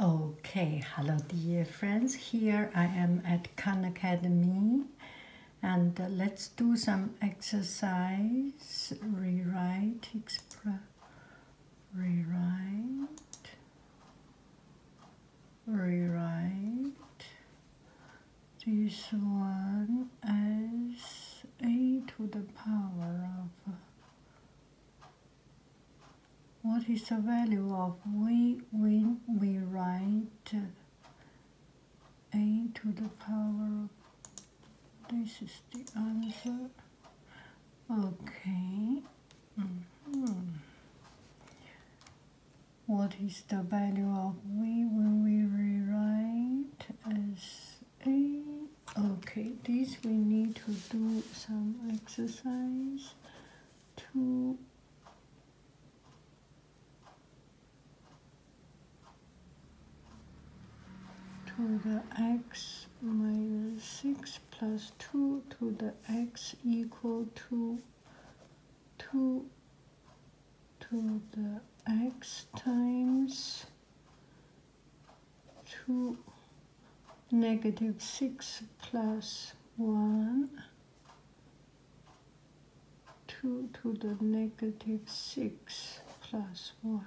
Okay, hello dear friends. Here I am at Khan Academy and uh, let's do some exercise, rewrite, express, rewrite, rewrite. This one as a to the power of what is the value of we when we write a to the power this is the answer okay hmm. what is the value of we when we rewrite as a okay this we need to do some exercise two to the x minus 6 plus 2 to the x equal to 2 to the x times 2 negative 6 plus 1, 2 to the negative 6 plus 1.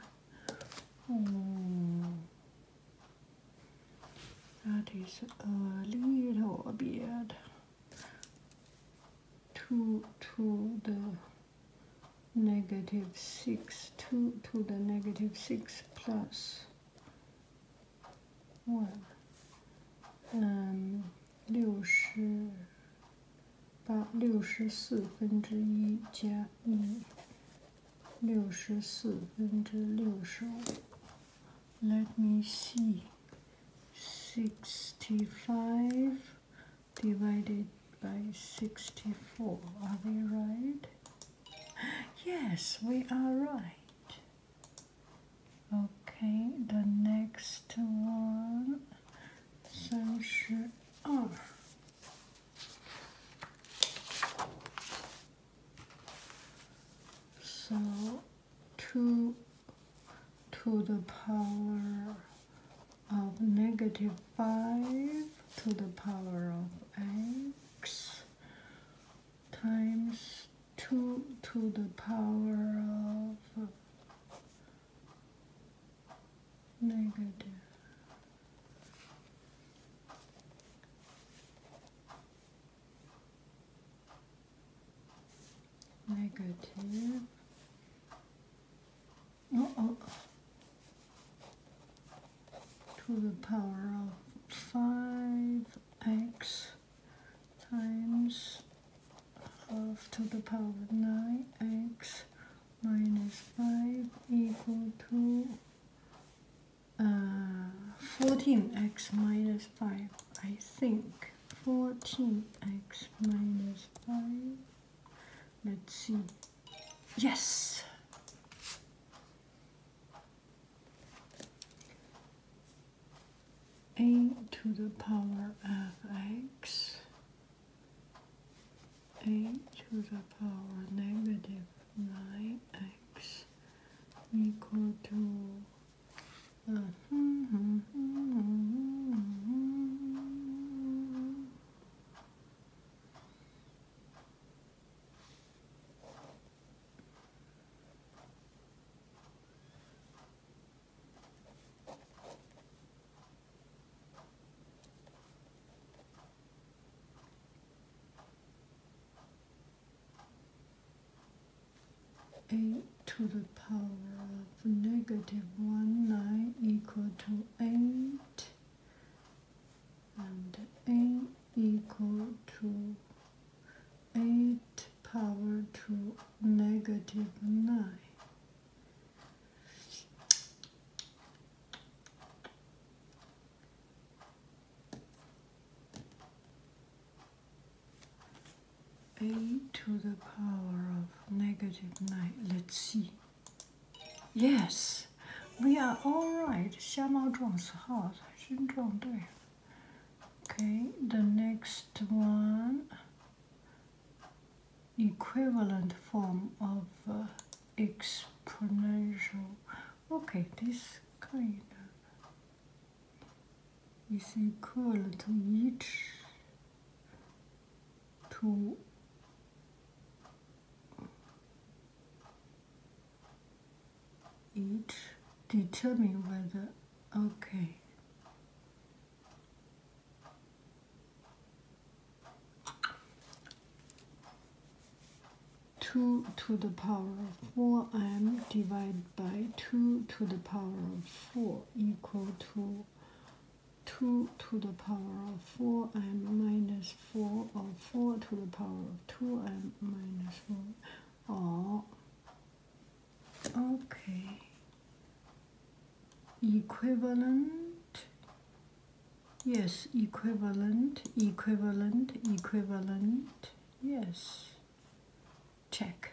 that is a little bit. 2 to the negative 6, 2 to the negative 6 plus one，嗯，六十八六十四分之一加一，六十四分之六十五。Let euh, me see. Sixty-five divided by sixty-four. Are they right? Yes, we are right. Okay, the next one. So So two to the power of negative 5 to the power of x times 2 to the power of negative. oh. oh to the power of 5x times half to the power of 9x minus 5 equal to uh, 14x minus 5, I think. 14x minus 5. Let's see. Yes! a to the power of x, a to the power negative 9x equal to uh, 8 to the power of negative 1, 9 equal to 8 and 8 equal to 8 power to negative 9. a to the power of negative 9. Let's see. Yes, we are all right. 瞎猫撞死耗子，真撞对了。Okay, the next one equivalent form of uh, exponential. Okay, this kind of is equal to each to it determine whether okay two to the power of four m divided by two to the power of four equal to two to the power of four m minus four or four to the power of two m minus four 어, okay. Equivalent. Yes, equivalent, equivalent, equivalent. Yes. Check.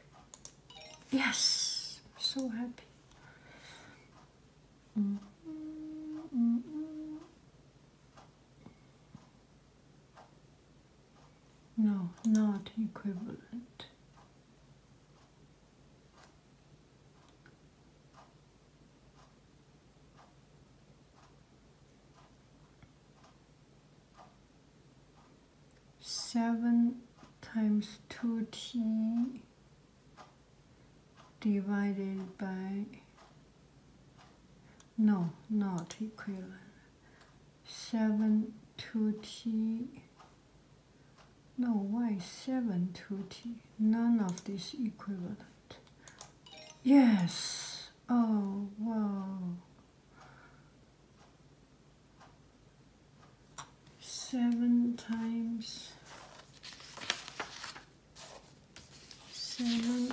Yes! So happy. Mm-hmm, mm-hmm. No, not equivalent. Seven times two t divided by no, not equivalent. 7 2t. No, why 7 2t? None of these equivalent. Yes! Oh, wow. 7 times 7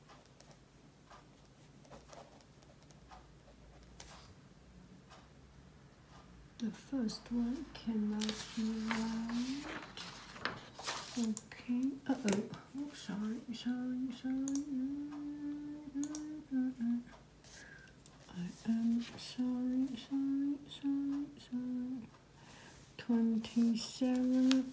The first one cannot be right. Okay. Uh oh. Oh, sorry, sorry, sorry. I am sorry, sorry, sorry, sorry. Twenty-seven.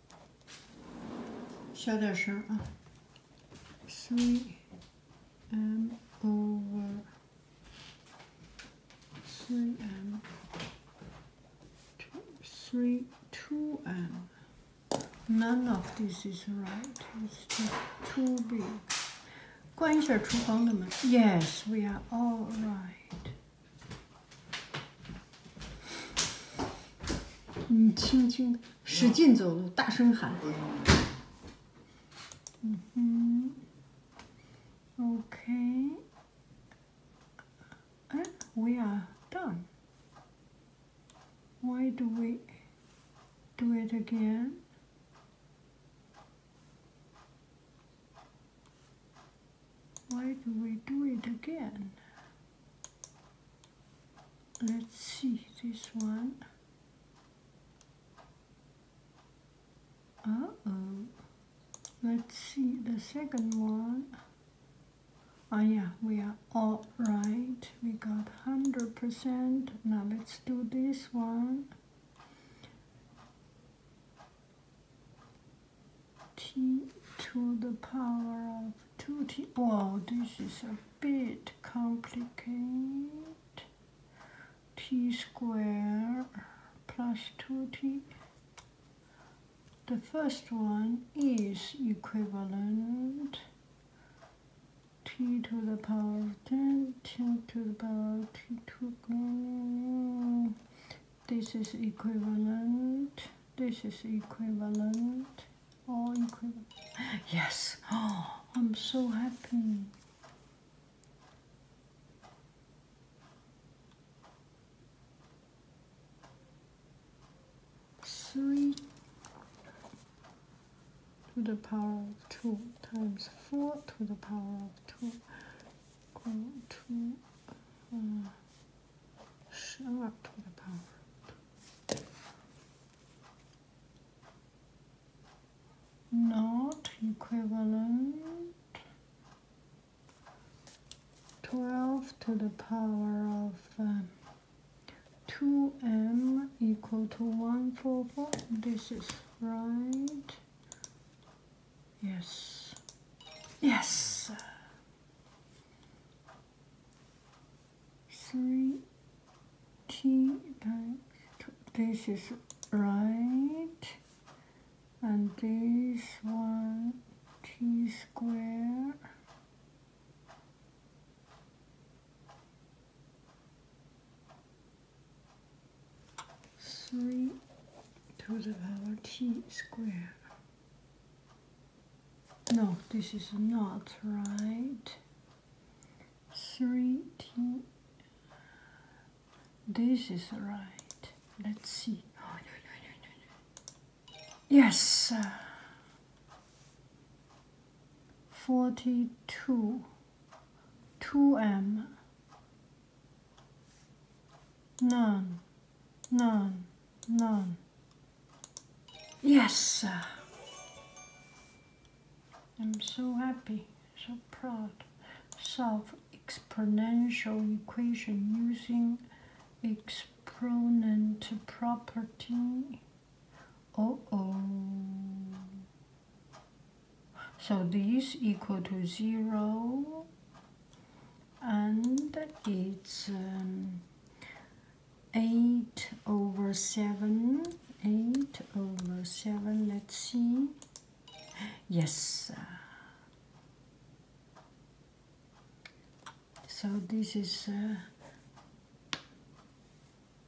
Three ah. m over three m two three two m. None of this is right. It's too big. Yes, we are all right. 你轻轻的。使劲走路，大声喊。嗯哼，OK，We are done. Why do we do it again? Why do we do it again? let's see this one. Uh oh. Let's see the second one. Oh yeah, we are all right. We got 100%. Now let's do this one. T to the power of two T. Wow, this is a bit complicated. T squared plus two T. The first one is equivalent t to the power of 10, t to the power of t to the. This is equivalent. This is equivalent all oh, incredible. Yes. Oh, I'm so happy. Three to the power of two times four to the power of two equal uh, Show up to the power. Not equivalent. 12 to the power of 2m um, equal to 144. This is right. Yes. Yes. 3t times This is right. And this one t squared. Three to the power t squared. No, this is not right. 3D. This is right. Let's see. Oh, yes. 42. 2M. None. None. None. Yes, I'm so happy, so proud. Solve exponential equation using exponent property. Oh, oh. So this equal to zero and it's um, 8 over 7 8 over 7 let's see yes so this is uh,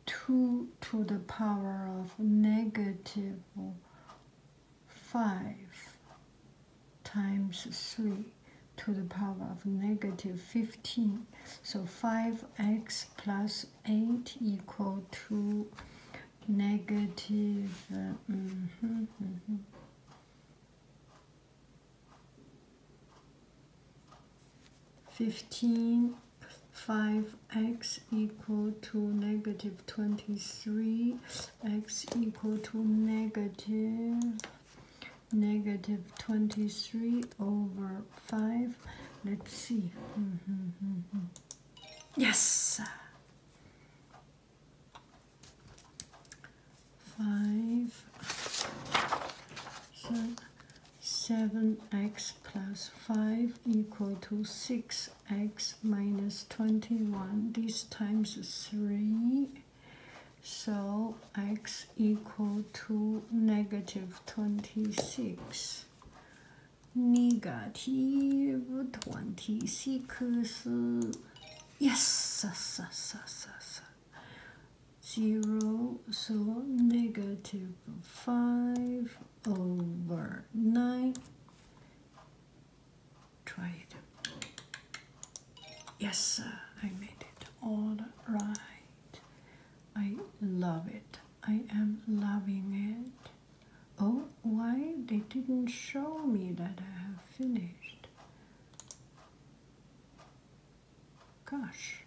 2 to the power of negative 5 times 3 to the power of negative 15. So 5x plus 8 equal to negative x uh, mm-hmm, mm-hmm. equal five x equal to negative twenty three x equal to negative negative 23 over 5. Let's see. Mm-hmm. Yes! 5, so 7x plus 5 equal to 6x minus 21. This times 3. So x equal to negative 26. Negative 26. Yes, yes, yes, yes, yes. 0, so negative 5 over 9. Try it. Yes, I made it all right. I love it. I am loving it. Oh, why they didn't show me that I have finished? Gosh,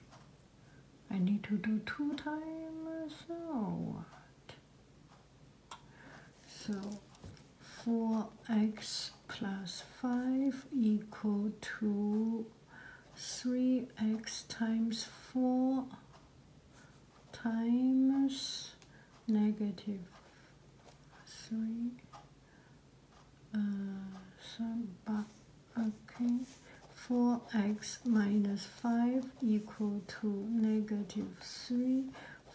I need to do two times so what? So 4x plus 5 equal to 3x times 4 times negative 3 uh, some, okay 4x minus 5 equal to negative 3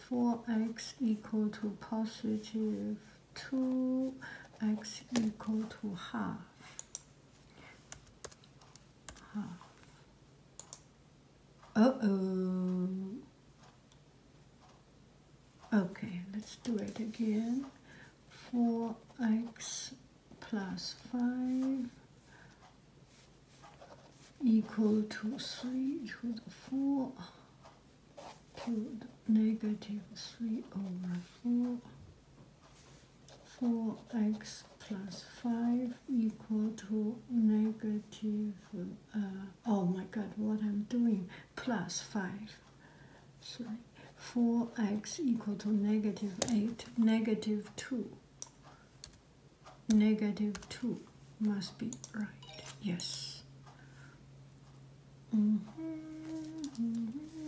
4x equal to positive 2x equal to half. half. oh Okay, let's do it again. 4x plus 5 equal to 3 to the 4 to the negative 3 over 4 4x plus 5 equal to negative, uh, oh my god, what I'm doing, plus 5. Sorry. 4x equal to negative 8, negative 2. Negative 2 must be right, yes. Mm-hmm, mm-hmm.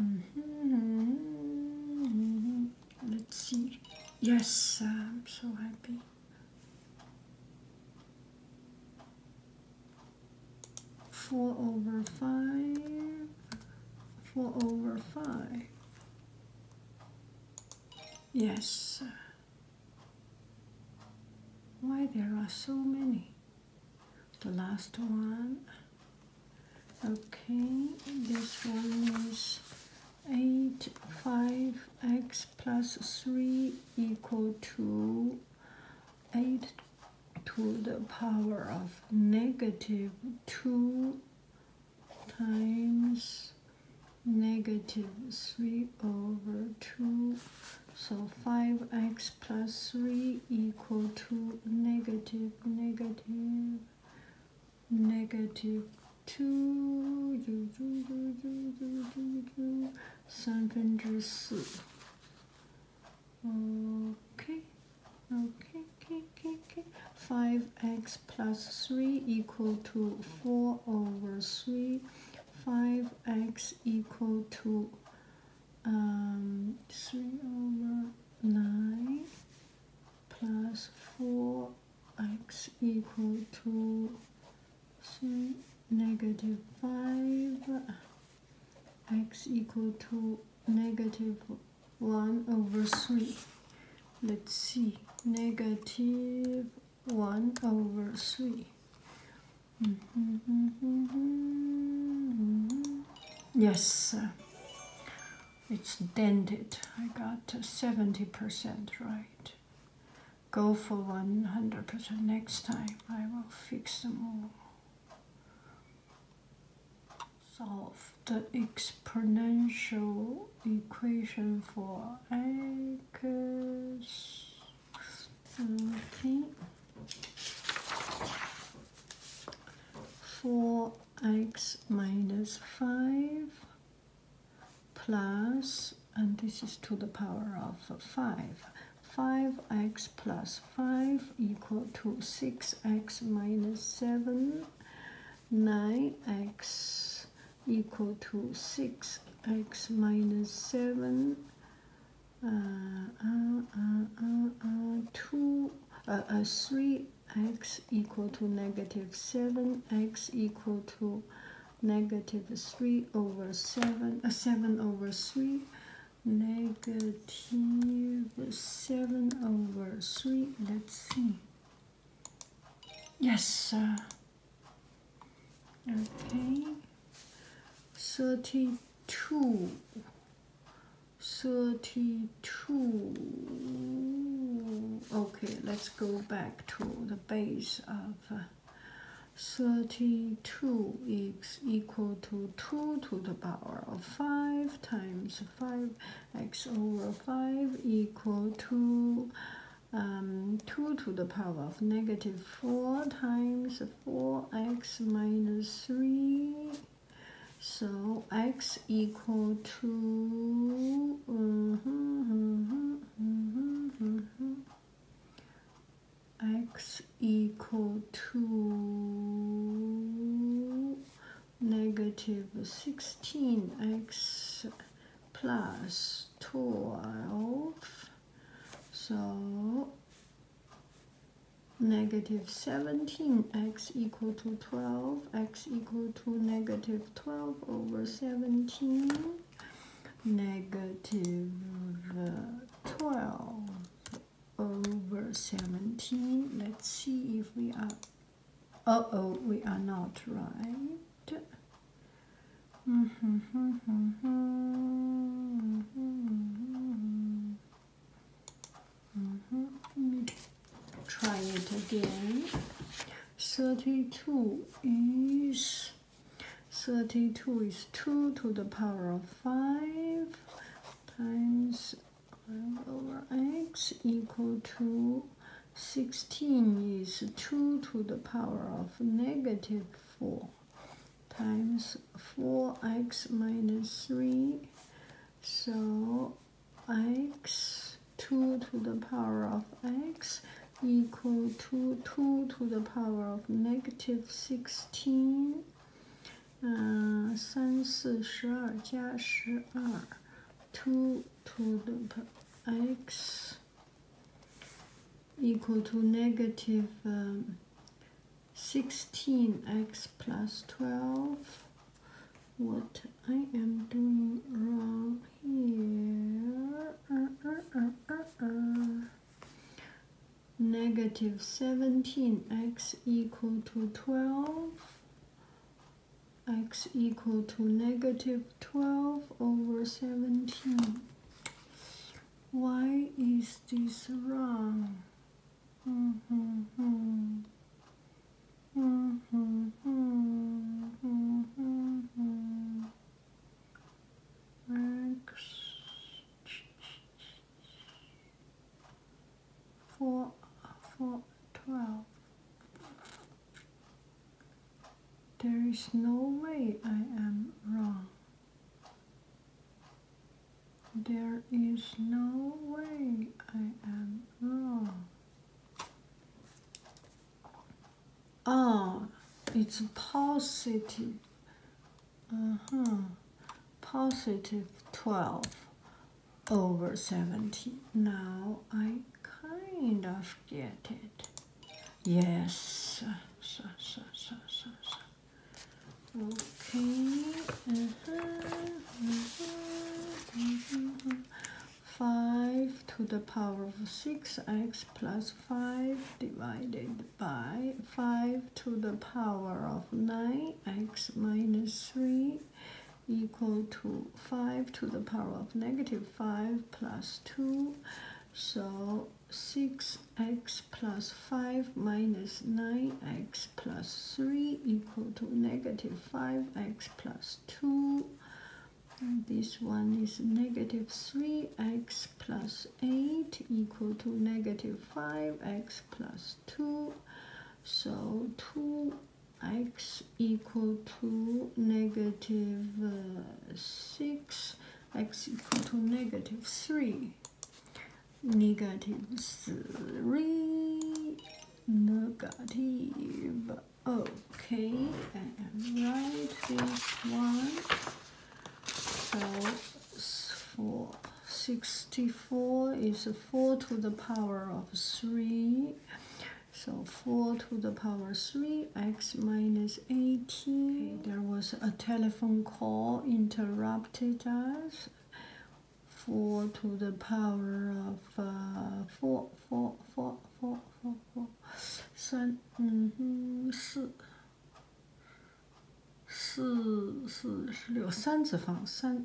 Mm-hmm. Let's see. Yes, I'm so happy. Four over five. Four over five. Yes. Why there are so many? The last one. Okay, this one is 8, 5x plus 3 equal to 8 to the power of negative 2 times negative 3 over 2. So 5x plus 3 equal to negative negative negative 2三分之四 okay okay okay okay okay 5x plus 3 equal to 4 over 3 5x equal to um, 3 over 9 plus 4x equal to 3 negative 5 x equal to negative 1 over 3 let's see negative 1 over 3 mm -hmm, mm -hmm, mm -hmm. yes it's dented. I got 70% right. Go for 100% next time. I will fix them all. Solve the exponential equation for x. Okay. For x minus 5 plus, and this is to the power of 5, 5x plus 5 equal to 6x minus 7, 9x equal to 6x minus 7, uh, uh, uh, 2, uh, 3 x equal to negative 7, x equal to negative 3 over 7, uh, 7 over 3, negative 7 over 3. Let's see. Yes. okay. 32 32 okay let's go back to the base of uh, 32 is equal to 2 to the power of 5 times 5x over 5 equal to um, 2 to the power of negative 4 times 4x minus 3 so x equal to uh-huh, uh-huh, uh-huh, x equal to negative 16x plus 12. So negative 17x equal to 12, x equal to negative 12 over 17, negative uh, 12 over 17. Let's see if we are, uh-oh, we are not right. Mm-hmm, mm-hmm, mm-hmm, Mm-hmm. Let me try it again. 32 is 32 is 2 to the power of 5 times over x equal to 16 is 2 to the power of negative 4 times 4x minus 3 so x 2 to the power of x equal to 2 to the power of negative 16 uh, two to the x equal to negative um, sixteen x plus twelve what I am doing wrong here. Negative 17x equal to 12 x equal to negative 12 over 17. Why is this wrong? Relax. Four, four, twelve. There is no way I am wrong. There is no way I am wrong. Oh, it's positive. Uh huh. Positive 12 over 70. Now I kind of get it. Yes. Okay. Uh, 5 to the power of 6x plus 5 divided by 5 to the power of 9x minus 3 equal to 5 to the power of negative 5 plus 2. So 6x plus 5 minus 9x 3 equal to negative 5x plus 2. And this one is negative 3x plus 8 equal to negative 5x plus 2. So 2x equal to uh, 6, x equal to negative 3. Negative 3 negative. Okay, I am right this one. So four. 64 is 4 to the power of 3. So 4 to the power 3, x minus 18. There was a telephone call interrupted us. 4 to the power of uh, 4, 4, 4, 4, 4, 4 3, 嗯 4, 4, 4是6三次方3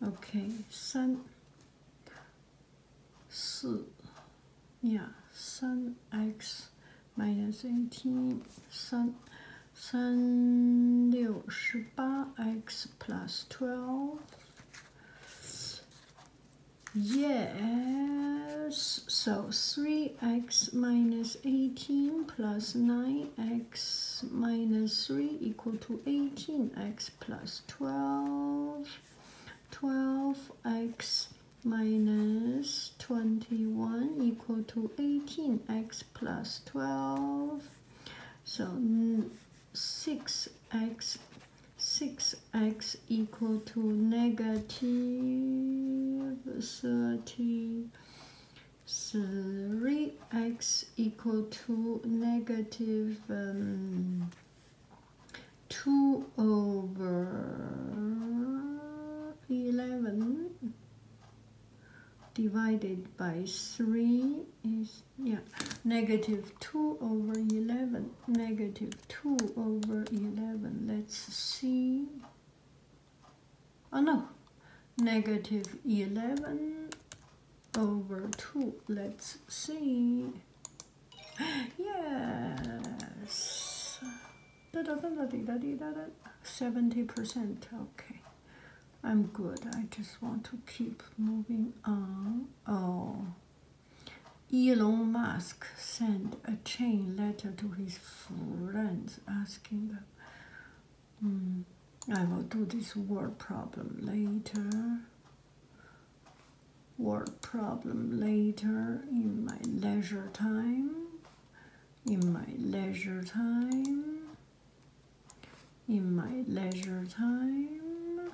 OK 3 4 yeah 3x minus 18 3 3 6 plus x plus 12 yes so 3x minus 18 plus 9x minus 3 equal to 18x plus 12 12x minus 21 equal to 18x 12. So 6x, mm, 6x equal to negative negative thirty. Three x equal to um, 2 over 11 divided by 3 is yeah, negative 2 over 11, negative 2 over 11, let's see, oh no, negative 11 over 2, let's see, yes, 70%, okay, I'm good. I just want to keep moving on. Oh. Elon Musk sent a chain letter to his friends asking them. Hmm, I will do this word problem later. Word problem later in my leisure time. In my leisure time in my leisure time,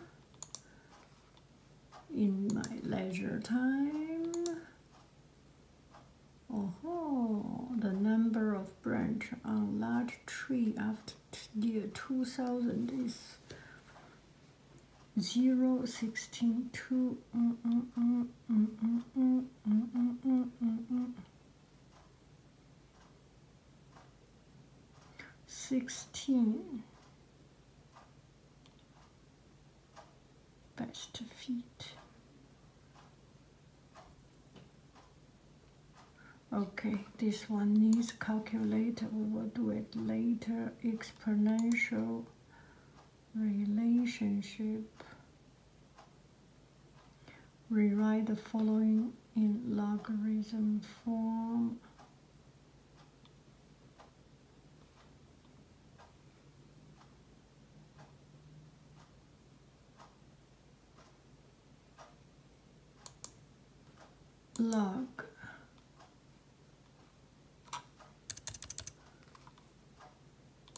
in my leisure time. Oh, the number of branch on large tree after year 2000 is 0, 16, 2. 16 best feet okay this one needs calculator we will do it later exponential relationship rewrite the following in logarithm form. log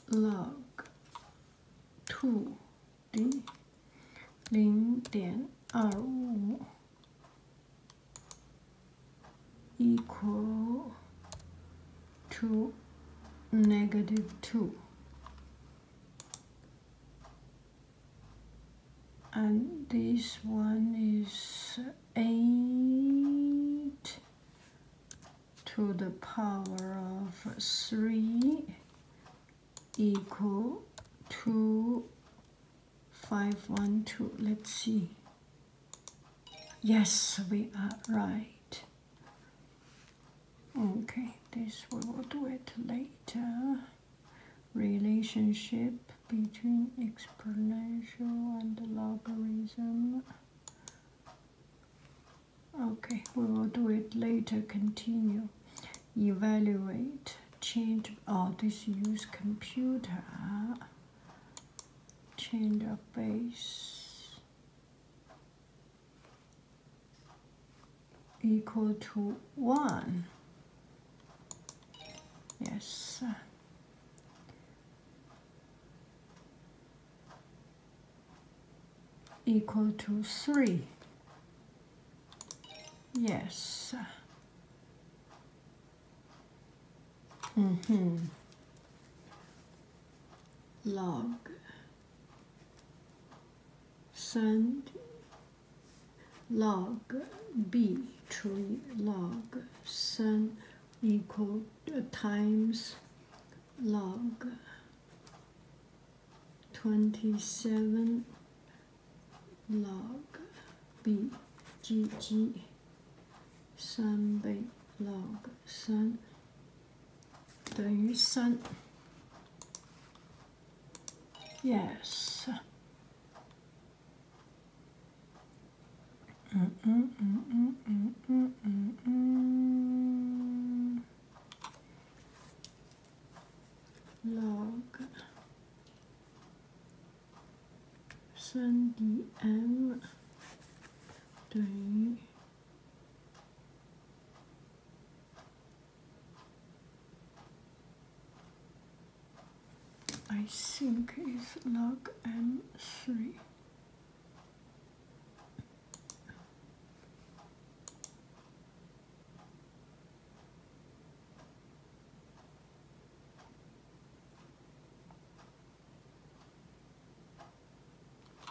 log 2 d 零点二五 equal to negative two and this one is eight to the power of three equal to 512 let's see yes we are right okay this we will do it later relationship between exponential and logarithm okay we will do it later continue evaluate change oh this use computer change of base equal to one yes equal to three Yes. hmm Log. Sun. Log. B. Tree. Log. Sun equal uh, times log 27 log b g g 三倍 log 三等于三。Yes。嗯嗯嗯嗯嗯嗯嗯嗯。log 3dm 等于，I think is log m three.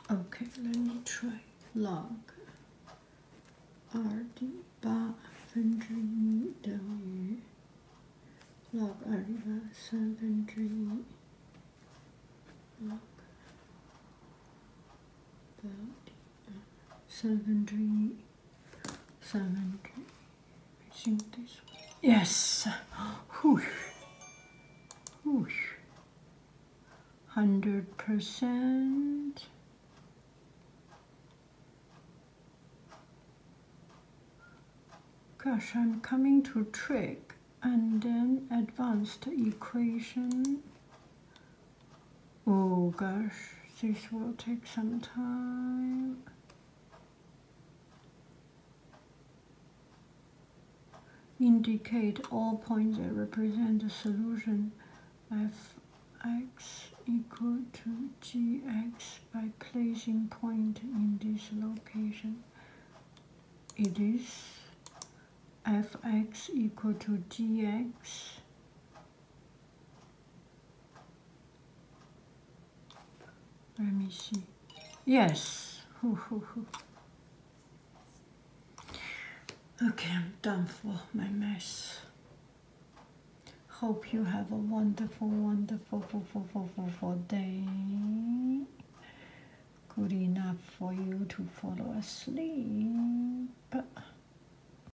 Okay, let me try log r d 八分之一等于 log 二 d 八三分之一 log 八 d seventy, seventy. Missing Yes. Whoosh. Whoosh. Hundred percent. Gosh, I'm coming to trick and then advanced equation Oh gosh, this will take some time. Indicate all points that represent the solution fx equal to gx by placing point in this location. It is fx equal to gx let me see. Yes. Okay, I'm done for my mess. Hope you have a wonderful, wonderful, wonderful day. Good enough for you to fall asleep.